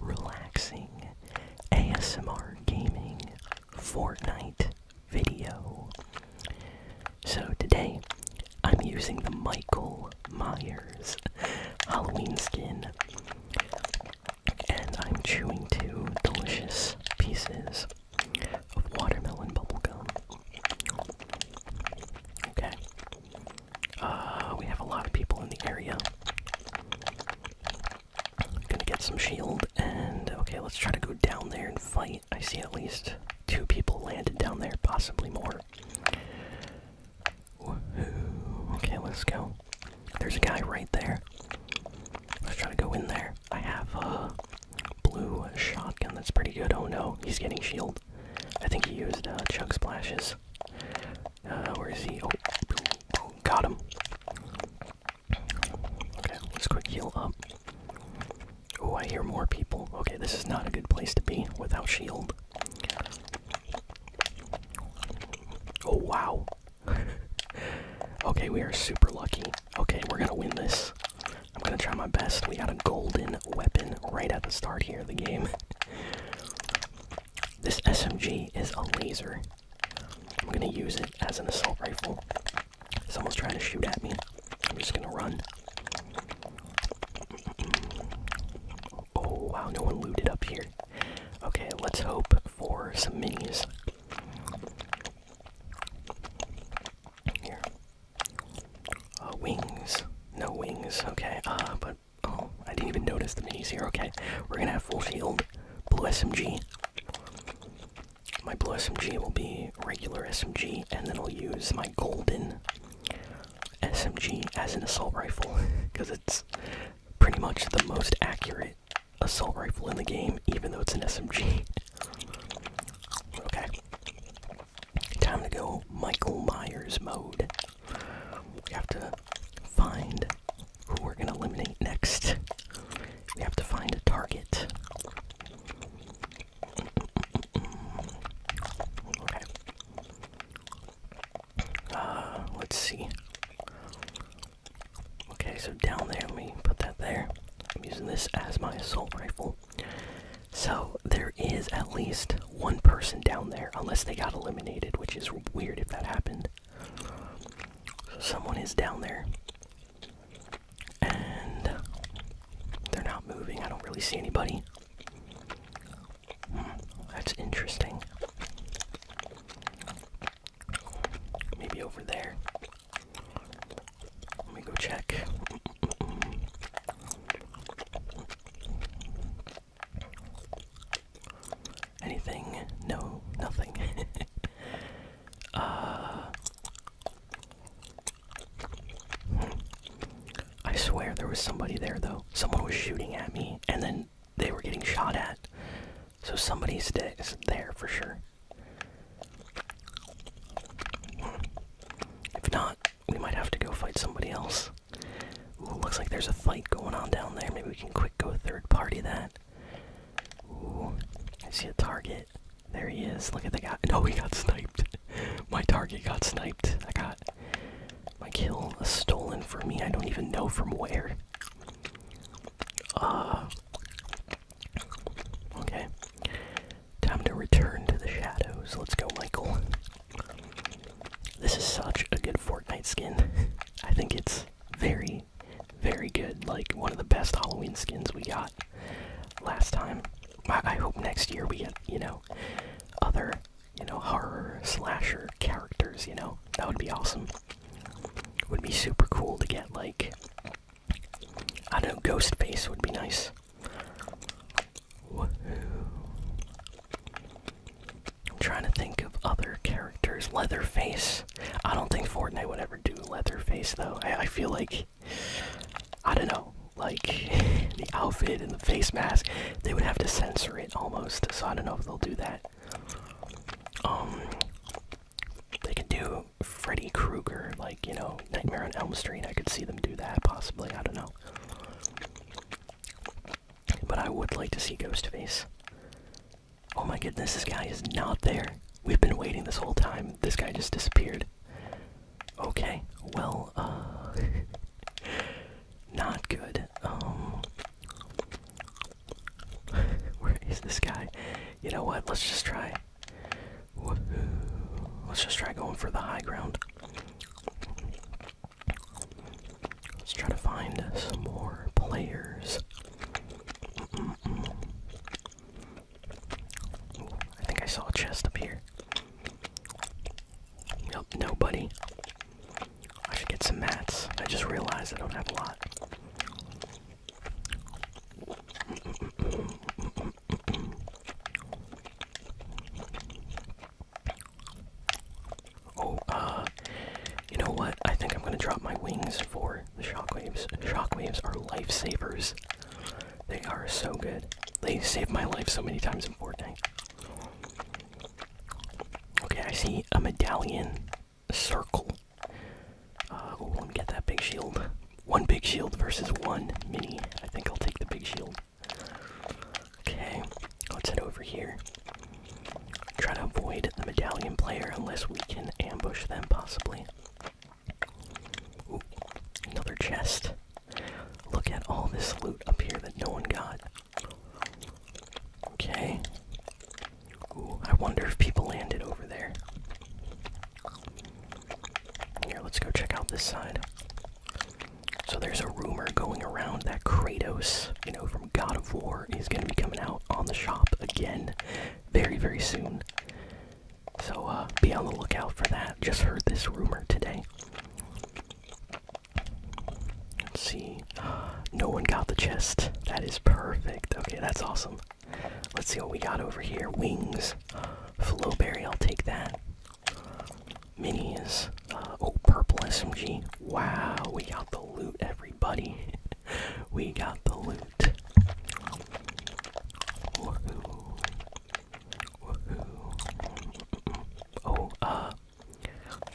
relaxing ASMR gaming Fortnite video. So today I'm using the Michael Myers Halloween skin and I'm chewing two delicious pieces of watermelon bubblegum. Okay. Uh, we have a lot of people in the area. I'm gonna get some shield, and okay, let's try to go down there and fight. I see at least two people landed down there, possibly more. Okay, let's go. There's a guy right there. Let's try to go in there. I have a blue shotgun that's pretty good. Oh no, he's getting shield. I think he used uh, splashes. Uh, where is he? Oh, boom, oh, oh, boom, got him. Okay, let's quick heal up. Oh, I hear more people. Okay, this is not a good place to be without shield. Oh, wow. okay, we are super lucky. Okay, we're gonna win this. I'm gonna try my best. We got a golden weapon right at the start here of the game. This SMG is a laser. I'm gonna use it as an assault rifle. Someone's trying to shoot at me. I'm just gonna run. Oh wow, no one looted up here. Okay, let's hope for some minis. Here. Uh, wings. No wings. Okay, uh, but Oh, I didn't even notice the minis here. Okay, we're gonna have full shield, blue SMG. My blue SMG will be regular SMG, and then I'll use my golden SMG as an assault rifle because it's pretty much the most accurate assault rifle in the game, even though it's an SMG. okay, time to go Michael Myers mode. We have to find who we're going to eliminate next. We have to find a target. Okay. Uh, let's see. Okay, so down there, let me put that there. I'm using this as my assault rifle. So there is at least one person down there unless they got eliminated, which is weird if that happened. someone is down there. And they're not moving. I don't really see anybody. Hmm, that's interesting. Maybe over there. Let me go check. Anything? No, nothing. uh, I swear there was somebody there though. Someone was shooting at me, and then they were getting shot at. So somebody's there for sure. If not, we might have to go fight somebody else looks like there's a fight going on down there. Maybe we can quick go third party that. Ooh, I see a target. There he is. Look at the guy. No, he got sniped. my target got sniped. I got my kill stolen from me. I don't even know from where. Uh. Okay. Time to return to the shadows. Let's go, Michael. This is such a good Fortnite skin. I think it's very, very good. Like one of the best Halloween skins we got last time. I, hope next year we get, you know, other, you know, horror slasher characters, you know? That would be awesome. Would be super cool to get like I don't know, Ghostface would be nice. I'm trying to think of other characters. Leatherface. I don't think Fortnite would ever do Leatherface though. I feel like I don't know. Like the outfit and the face mask, they would have to censor it almost. So I don't know if they'll do that. Um, they could do Freddy Krueger, like you know, Nightmare on Elm Street. I could see them do that possibly. I don't know. But I would like to see Ghostface. Oh my goodness, this guy is not there. We've been waiting this whole time. This guy just disappeared. Okay, well, uh. not good. Um. Where is this guy? You know what? Let's just try. Let's just try going for the high ground. Let's try to find some more players. I think I saw a chest up here. Nope, nobody. I should get some mats. I just realized I don't have a lot. Oh, uh, you know what? I think I'm gonna drop my wings for the shockwaves. Shockwaves are lifesavers. They are so good. They saved my life so many times in Fortnite. Okay, I see a medallion circle. Uh, let me get that big shield. One big shield versus one mini. I think I'll take the big shield. Okay, let's head over here. Try to avoid the medallion player unless we can ambush them, possibly. another chest. Look at all this loot up here that no one got. Okay. Ooh, I wonder if people landed over there. Here, let's go check out this side. So there's a rumor going around that Kratos, you know, from God of War, is going to be coming out on the shop again very, very soon. So uh, be on the lookout for that. Just heard this rumor today. Let's see. No one got the chest. That is perfect. Okay, that's awesome. Let's see what we got over here. Wings. Flowberry, I'll take that. Minis. oh, purple SMG. Wow, we got the loot, everybody. we got the loot. Oh, uh,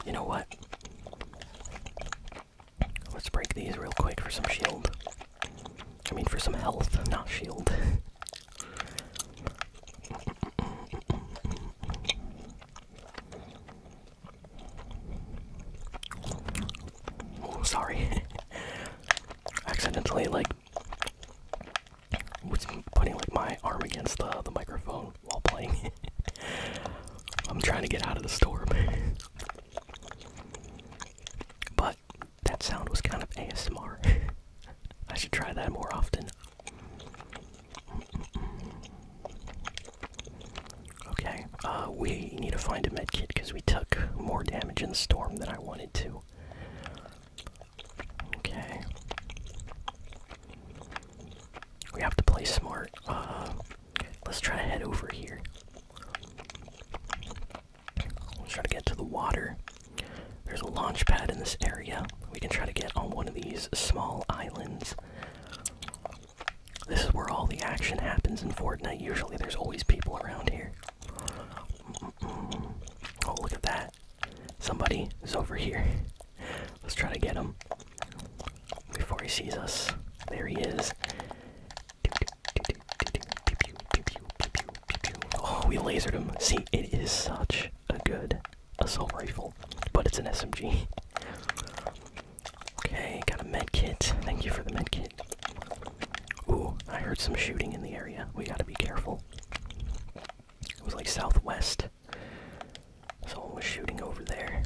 you know what? Let's break these real quick for some shield. I mean, for some health, not shield. Oh, sorry. Accidentally, like, was putting like my arm against the the microphone while playing. I'm trying to get out of the storm. but that sound was kind of ASMR. I should try that more often. Okay, uh, we need to find a medkit because we took more damage in the storm than I wanted to. Okay. We have to play smart. Uh, let's try to head over here. Let's try to get to the water. There's a launch pad in this area. We can try to get on one of these small islands. This is where all the action happens in Fortnite. Usually there's always people around here. Oh, look at that. Somebody is over here. Let's try to get him before he sees us. There he is. Oh, we lasered him. See, it is such a good assault rifle, but it's an SMG. Okay, got a med kit. Thank you for the med kit. Ooh, I heard some shooting in the area. We gotta be careful. It was like southwest. Someone was shooting over there.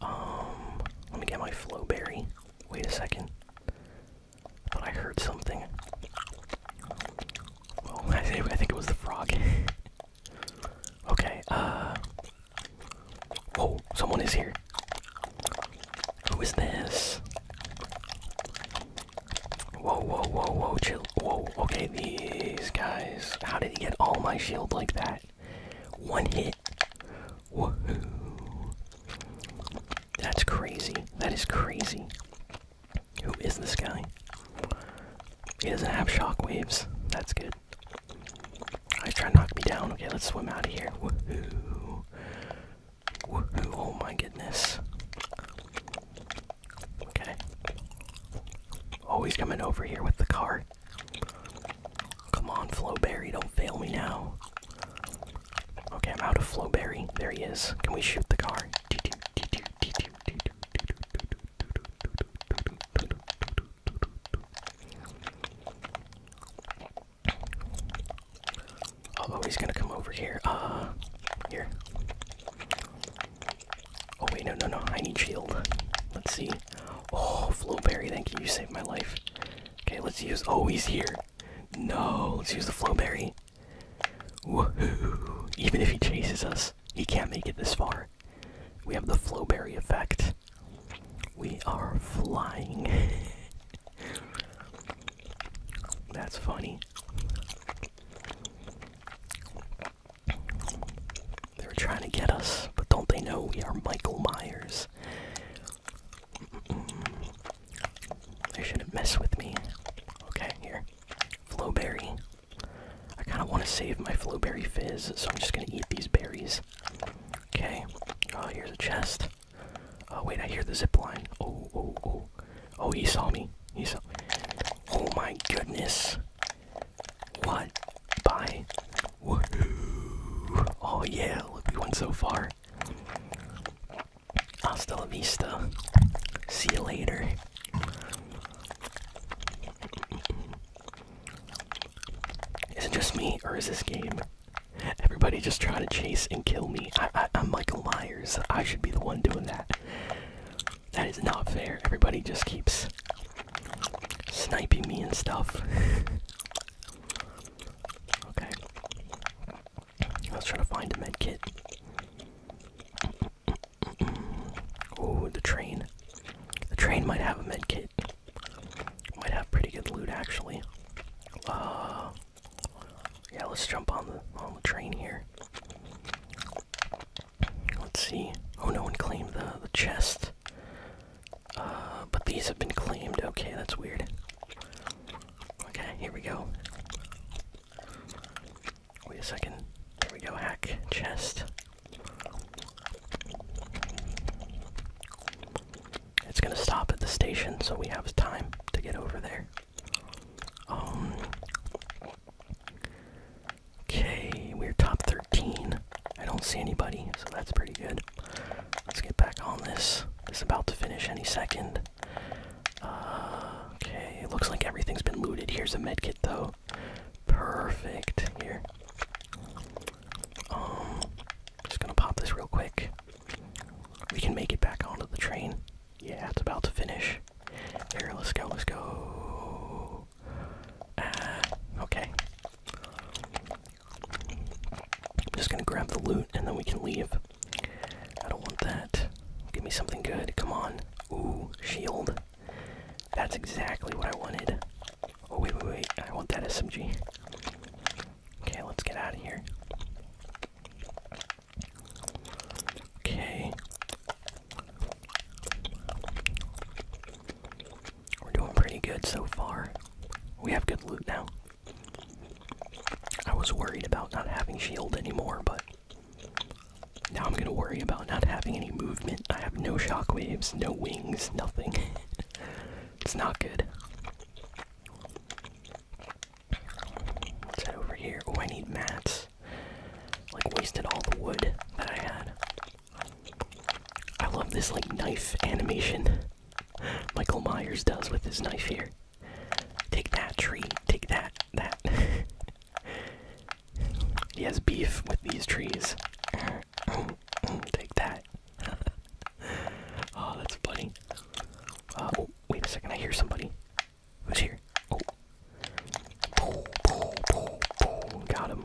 Um, let me get my flow berry. Wait a second. But I heard something. Well, I think, it was the frog. okay, uh. Whoa, someone is here. Who is this? Whoa, whoa, whoa, whoa, chill. Whoa, okay, these guys. How did he get all my shield like that? One hit. Woohoo. That's crazy. That is crazy. Who is this guy? He doesn't have shockwaves. That's good. I try to knock me down. Okay, let's swim out of here. Oh my goodness. Okay. Oh, he's coming over here with the car. Come on, Flowberry, don't fail me now. Okay, I'm out of Flowberry. There he is. Can we shoot the car? oh, he's gonna come over here. Uh, here. Oh, wait, no, no, no. I need shield. Let's see. Oh, Flowberry, thank you. You saved my life. Okay, let's use. Oh, he's here. No, let's use the Flowberry. Woohoo! Even if he chases us, he can't make it this far. We have the Flowberry effect. We are flying. That's funny. They're trying to get us, but don't they know we are Michael Myers? They shouldn't mess with me. Okay, here. Flowberry. I kind of want to save my flowberry fizz, so I'm just gonna eat these berries. Okay. Oh, here's a chest. Oh wait, I hear the zip line. Oh, oh, oh. Oh, he saw me. He saw. Oh my goodness. What? Bye. Oh yeah, look, we went so far. Hasta la vista. See you later. Is it just me, or is this game? Everybody just trying to chase and kill me. I, I, I'm Michael Myers. I should be the one doing that. That is not fair. Everybody just keeps sniping me and stuff. okay. I was trying to find a med kit. oh, the train. The train might have a med kit. Might have pretty good loot actually. Uh, yeah, let's jump on the on the train here. Let's see. Oh, no one claimed the the chest. Uh, but these have been claimed. Okay, that's weird. Okay, here we go. Wait a second. Here we go, hack chest. It's gonna stop at the station, so we have time to get over there. Um. Okay, we're top 13. I don't see anybody, so that's pretty good. Let's get back on this. It's about to finish any second okay, it looks like everything's been looted. Here's a medkit though. Perfect. Here. Um, just gonna pop this real quick. We can make it back onto the train. Yeah, it's about to finish. Here, let's go, let's go. Ah, okay. I'm just gonna grab the loot and then we can leave. I don't want that. Give me something good. Come on. Ooh, shield. That's exactly what I wanted. Oh, wait, wait, wait. I want that SMG. Okay, let's get out of here. Okay. We're doing pretty good so far. We have good loot now. I was worried about not having shield anymore, but now I'm gonna worry about not having any movement. I have no shockwaves, no wings, nothing. it's not good. over here? Oh, I need mats. Like, wasted all the wood that I had. I love this, like, knife animation Michael Myers does with his knife here. Take that tree. Take that. That. he has beef with these trees. Take that. oh, that's funny. Uh, oh, wait a second. I hear somebody. Who's here? Oh. Boom, boom, boom, boom. Got him.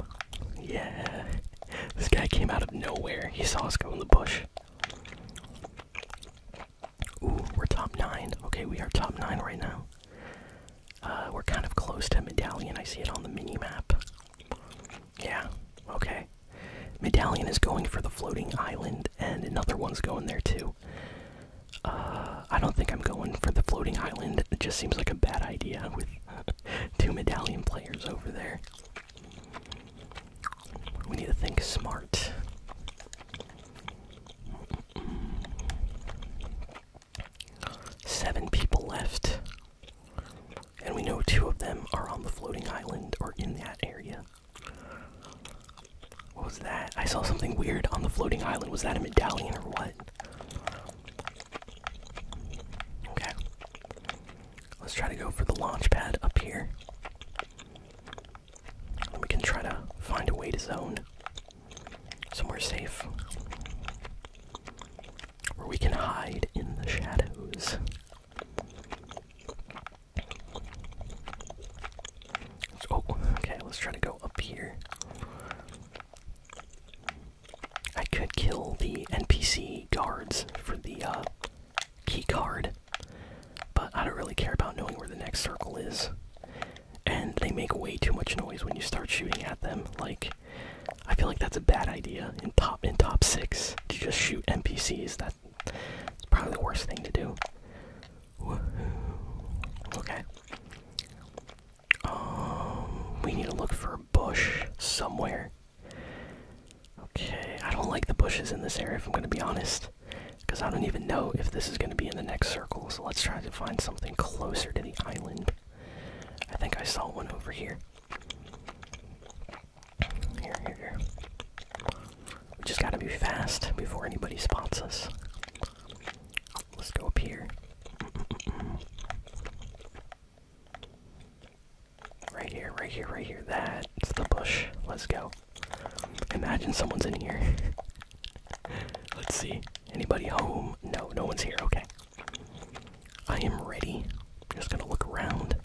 Yeah. This guy came out of nowhere. He saw us go in the bush. Ooh, we're top nine. Okay, we are top nine right now. Uh, we're kind of close to Medallion. I see it on the mini map. Yeah, okay. Medallion is going for the floating island, and another one's going there too. Uh, I don't think I'm going for the floating island. It just seems like a bad idea with two medallion players over there. We need to think smart. Seven people left. And we know two of them are on the floating island or in that area. What was that? I saw something weird on the floating island. Was that a medallion or what? Okay. Let's try to go for the launch pad up here. We can try to find a way to zone somewhere safe where we can hide in the shadows. oh, okay, let's try to go up here. I could kill the NPC guards for the uh, key card. But I don't really care about knowing where the next circle is. And they make way too much noise when you start shooting at them. Like, I feel like that's a bad idea in top in top six to just shoot NPCs. That's probably the worst thing to do. Okay. Um, we need to look for a bush somewhere. Okay, I don't like the bushes in this area if I'm gonna be honest. Because I don't even know if this is gonna be in the next circle, so let's try to find something closer to the island. I think I saw one over here. Here, here, here. We just gotta be fast before anybody spots us. Let's go up here. Right here, right here, right here. That it's the bush. Let's go. Imagine someone's in here. Let's see. Anybody home? No, no one's here. Okay. I am ready. just gonna look around.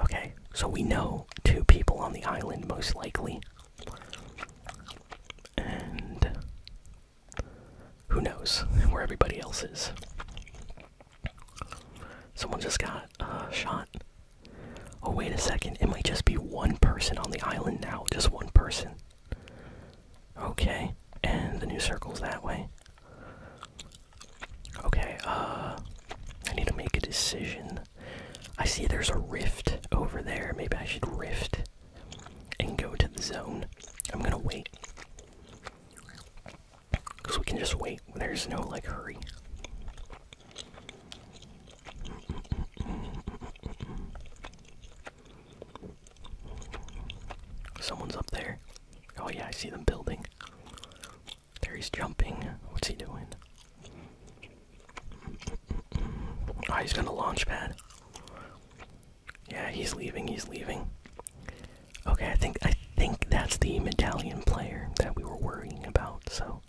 Okay, so we know two people on the island, most likely. And who knows where everybody else is. Someone just got uh, shot. Oh, wait a second. It might just be one person on the island now. Just one person. Okay. And the new circle's that way. Okay, uh. I need to make a decision. I see there's a rift over there. Maybe I should rift and go to the zone. I'm gonna wait. Because we can just wait. There's no like hurry. Someone's up there. Oh, yeah, I see them building. There he's jumping. What's he doing? Oh, he's gonna launch pad. Yeah, he's leaving, he's leaving. Okay, I think I think that's the medallion player that we were worrying about, so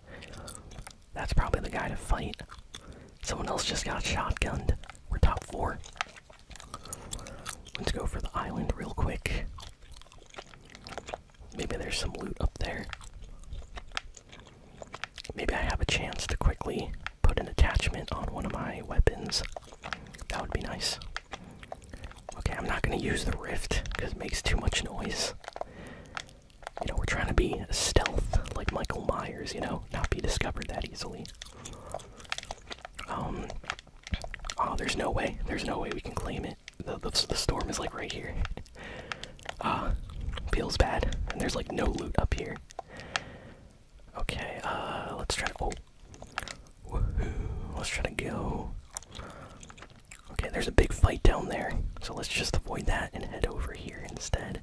that's probably the guy to fight. Someone else just got shotgunned. We're top four. Let's go for the island real quick. Maybe there's some loot up there. Maybe I have a chance to quickly put an attachment on one of my weapons. That would be nice. Okay, I'm not gonna use the rift because it makes too much noise. You know, we're trying to be stealth like Michael Myers, you know, not be discovered that easily. Um, oh, there's no way. There's no way we can claim it. The, the, storm is like right here. Uh, feels bad. And there's like no loot up here. Okay, uh, let's try to. Oh. Let's try to go. Okay, there's a big fight down there. So let's just avoid that and head over here instead.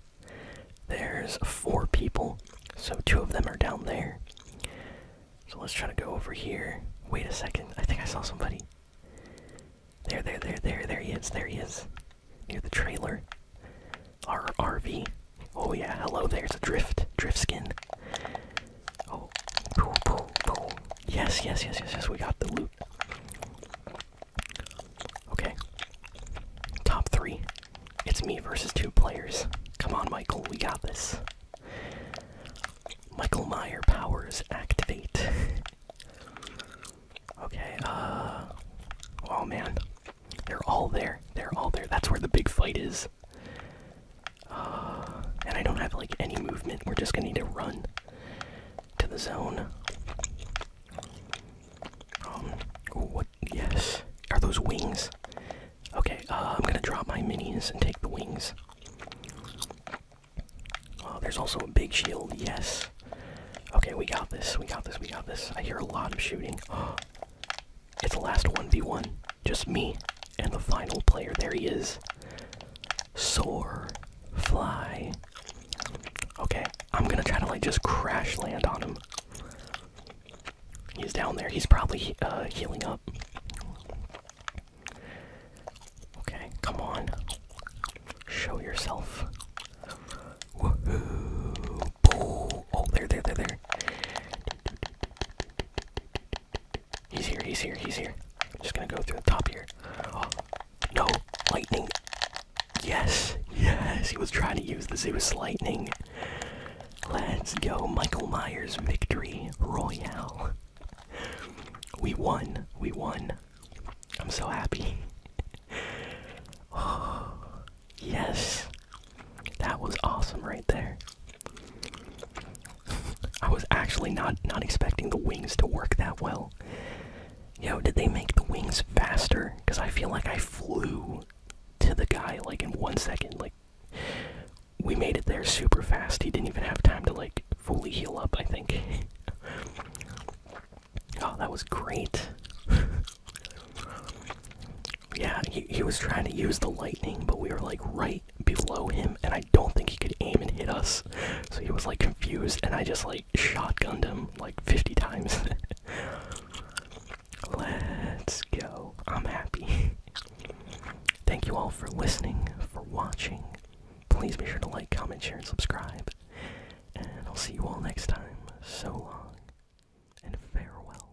There's four people. So two of them are down there. So let's try to go over here. Wait a second. I think I saw somebody. There, there, there, there, there he is. There he is. Near the trailer. Our RV. Oh yeah, hello, there's a drift. Drift skin. Oh, Yes, yes, yes, yes, yes. We got the loop. Okay. Top three. It's me versus two players. Come on, Michael. We got this. Michael Meyer powers activate. okay, uh. Oh man. They're all there. They're all there. That's where the big fight is. and I don't have like any movement. We're just gonna need to run to the zone. Um, what? Yes. Are those wings? Okay, uh, I'm gonna drop my minis and take the wings. Uh, there's also a big shield, yes. Okay, we got this, we got this, we got this. I hear a lot of shooting. it's the last 1v1. Just me and the final player, there he is. Soar. Fly. Okay, I'm gonna try to like just crash land on him. He's down there. He's probably uh, healing up. Okay, come on. Show yourself. Woohoo! Oh, there, there, there, there. He's here, he's here, he's here. I'm just gonna go through the top here. Oh, no, lightning. Yes, yes, he was trying to use the Zeus lightning. Let's go, Michael Myers victory royale. We won, we won. I'm so happy. yes, that was awesome right there. I was actually not not expecting the wings to work that well. Yo, did they make the wings faster? Because I feel like I flew to the guy like in one second. Like we made it there super fast. He didn't even have time to like fully heal up. I think. oh, that was great. yeah, he he was trying to use the lightning, but we were like right below him, and I don't think he could aim and hit us. So he was like confused, and I just like shotgunned him like 50 times. Let's go. I'm happy. Thank you all for listening, for watching. Please be sure to like, comment, share, and subscribe. And I'll see you all next time. So long, and farewell.